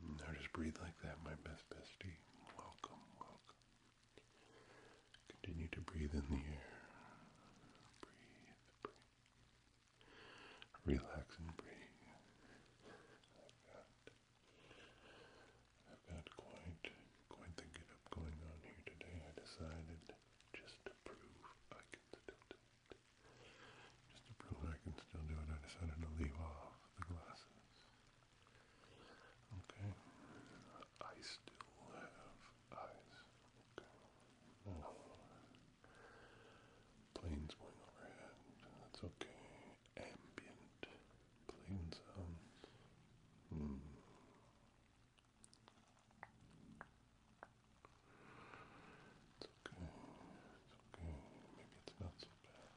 Now mm, just breathe like that, my best bestie. Welcome, welcome. Continue to breathe in the air. Breathe, breathe. Relax and breathe. Like that. I've got quite quite the get going on here today. I decided just to prove I can still do it. Just to prove I can still do it, I decided to leave off the glasses. Okay. I still have eyes. Okay. planes going overhead. That's okay. Ambient Plain sounds. Um, hmm. It's okay. It's okay. Maybe it's not so bad.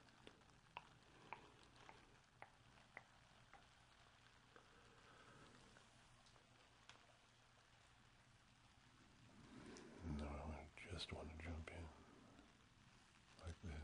Now I just want to jump in like this.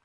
Smile.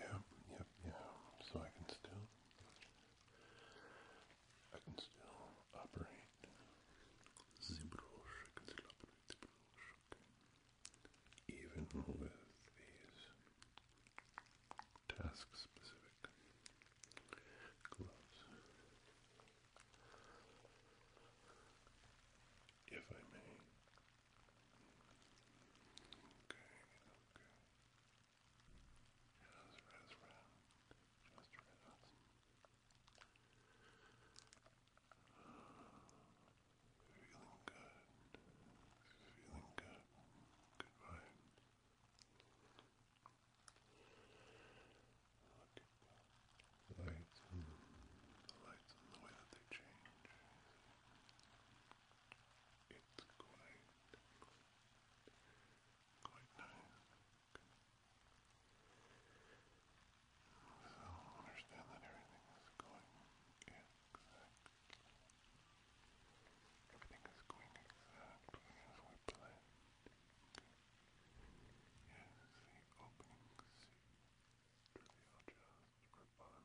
Yep, yep, yep. So I can still, I can still operate the even with these task specific gloves. If I may. Okay, okay. Just rest round. Just rest. Feeling good. Feeling good. Good vibes. at the lights the lights and the way that they change. It's quite quite nice. So understand that everything is going in Everything is going exactly as we planned. Here's the opening scene. Real just for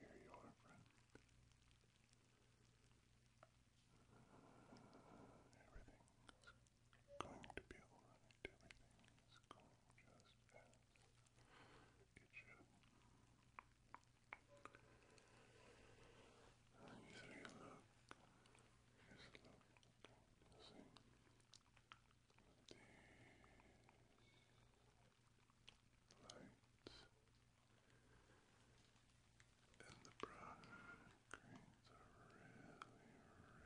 So, here you are, friend. everything going to be alright. Everything is going just as it should. And you look, just look, see. With lights and the brush Greens are really, really beautiful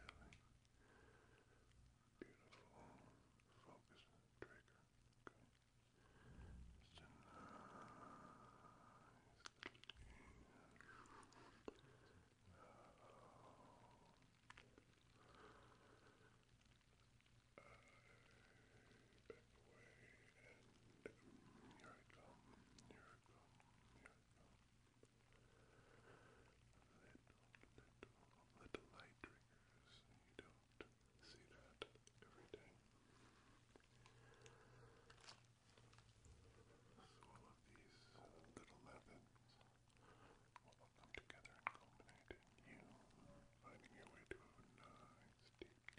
focus trigger. here I come, here I come, here I come. Little, little, light triggers. You don't see that every day. So all of these little methods will come together and culminate in you finding your way to a nice deep, deep,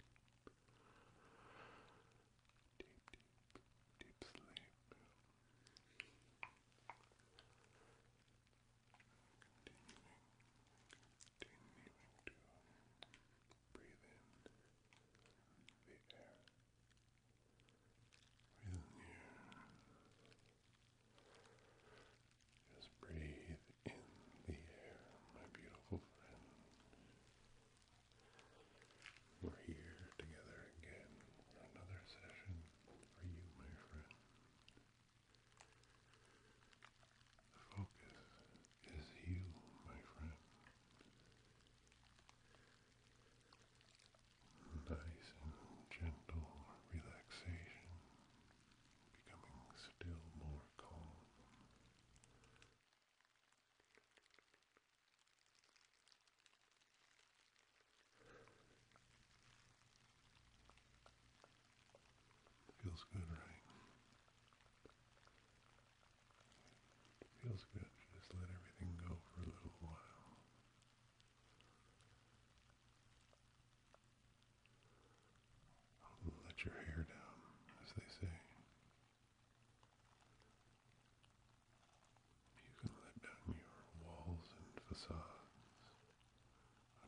deep, deep sleep. Continuing, to breathe in the air. Breathe in Just breathe in the air, my beautiful friend. We're here together again for another session for you, my friend. focus is you, my friend. Nice and gentle relaxation, becoming still more calm. Feels good, right? Feels good just let everything go for a little while. Let your hair down, as they say. You can let down your walls and facades.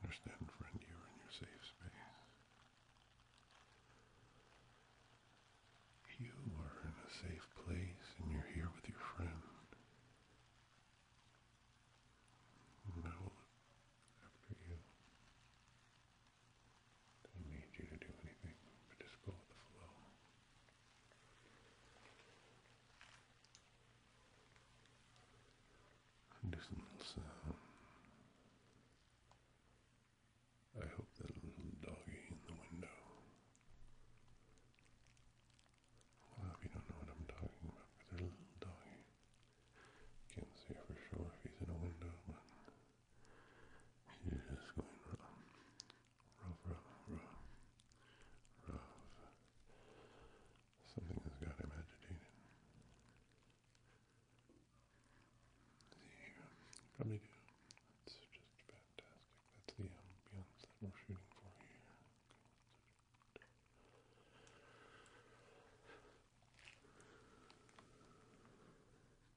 Understand, friend, you're in your safe space. You are in a safe place and you're here with your friend. I will look after you. Don't need you to do anything, but just go with the flow. Additional I hope that little doggy in the window. Well, you don't know what I'm talking about, because there's a little doggy. Can't see for sure if he's in a window, but he's just going around Something has got him agitated. Probably do. That's just fantastic. That's the ambience that we're shooting for here.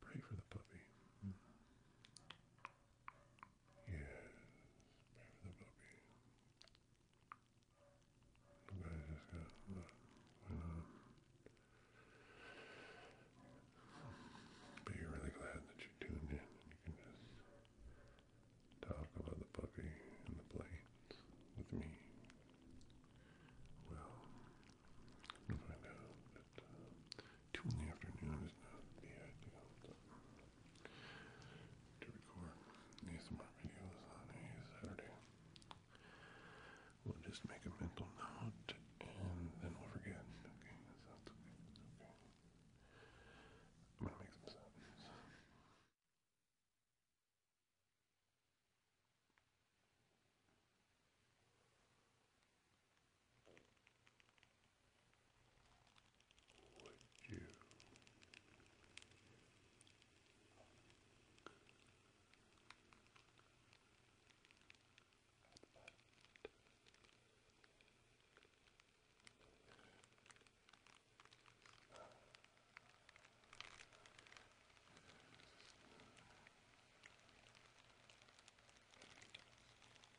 Pray for the puppy. Yes, the puppy. You guys just got look, went on. really glad that you tuned in you can just talk about the puppy and the planes with me. Well, find out two in the afternoon is not the ideal to record ASMR videos on a Saturday. We'll just make a mental note and then we'll forget. Okay, that okay. That's okay. I'm gonna make some sounds. Would you Would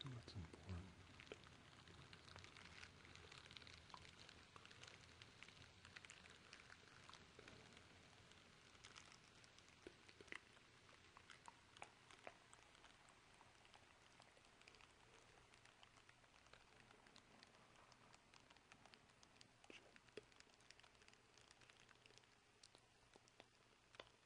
Do what's important. Chip.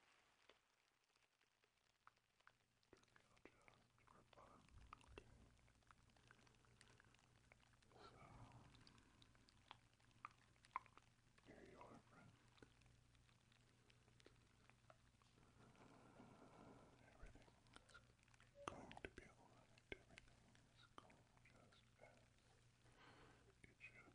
So, here you are, friend. Everything is going to be alright. Everything is going just as it should.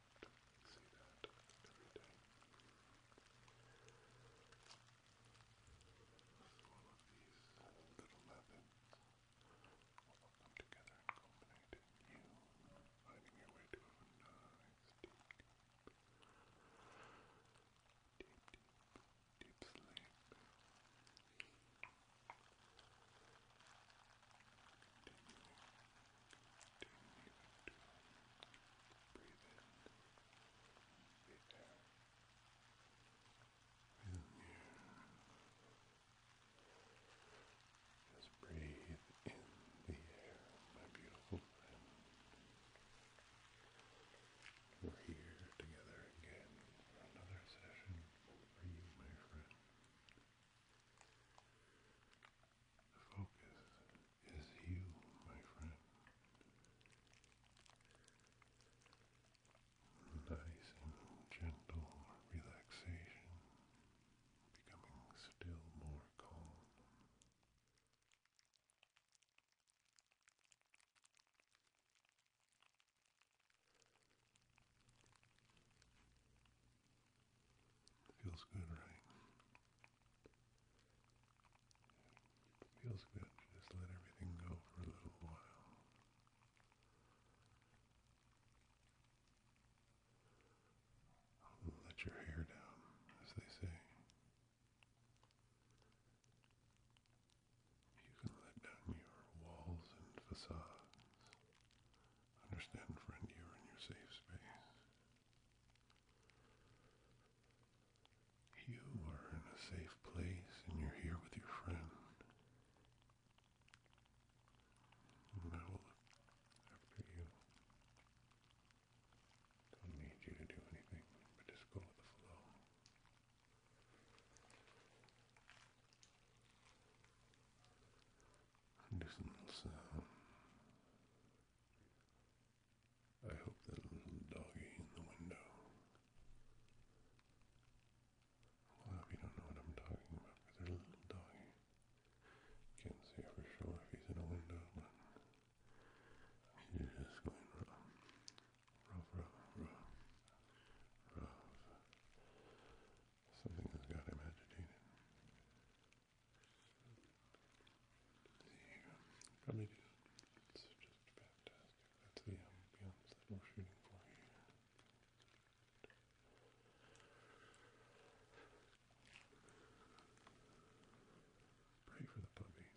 see that every day. So all of these little methods will come together and culminate in you finding your way to a nice deep, deep, deep, deep sleep. Continuing Continue Just breathe in the air, my beautiful friend. We're here together again for another session for you, my friend. focus is you, my friend. Nice and gentle relaxation, becoming still more calm. Feels good, right? Feels good just let everything go for a little while. Let your hair down, as they say. You can let down your walls and facades. Understand, friend, you're in your safe space. You are in a safe place and you're here with your friend. I will look after you. Don't need you to do anything, just go with the flow. And I hope that little doggy in the window. A lot you don't know what I'm talking about, there's a little doggy. Can't see for sure if he's in a window, but you just going rough, rough, rough, rough, rough. Something has got him agitated. There Probably do. It's just fantastic. That's the ambience that we're shooting for Pray for the puppy.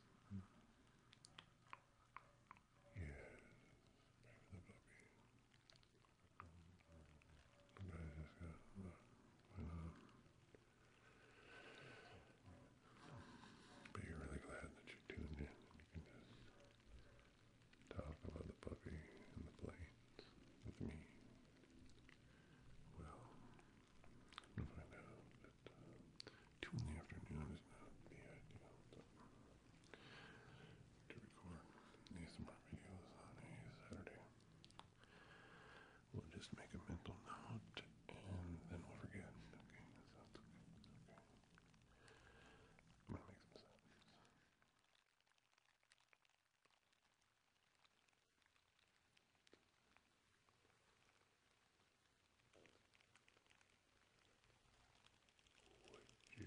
Yes, for the puppy. But you're really glad that you tuned in you can just talk about the puppy and the planes with me. Well, find out that uh, the afternoon is not the ideal to record these smart videos on a Saturday. We'll just make a mental note and then we'll forget. Okay, that okay. okay.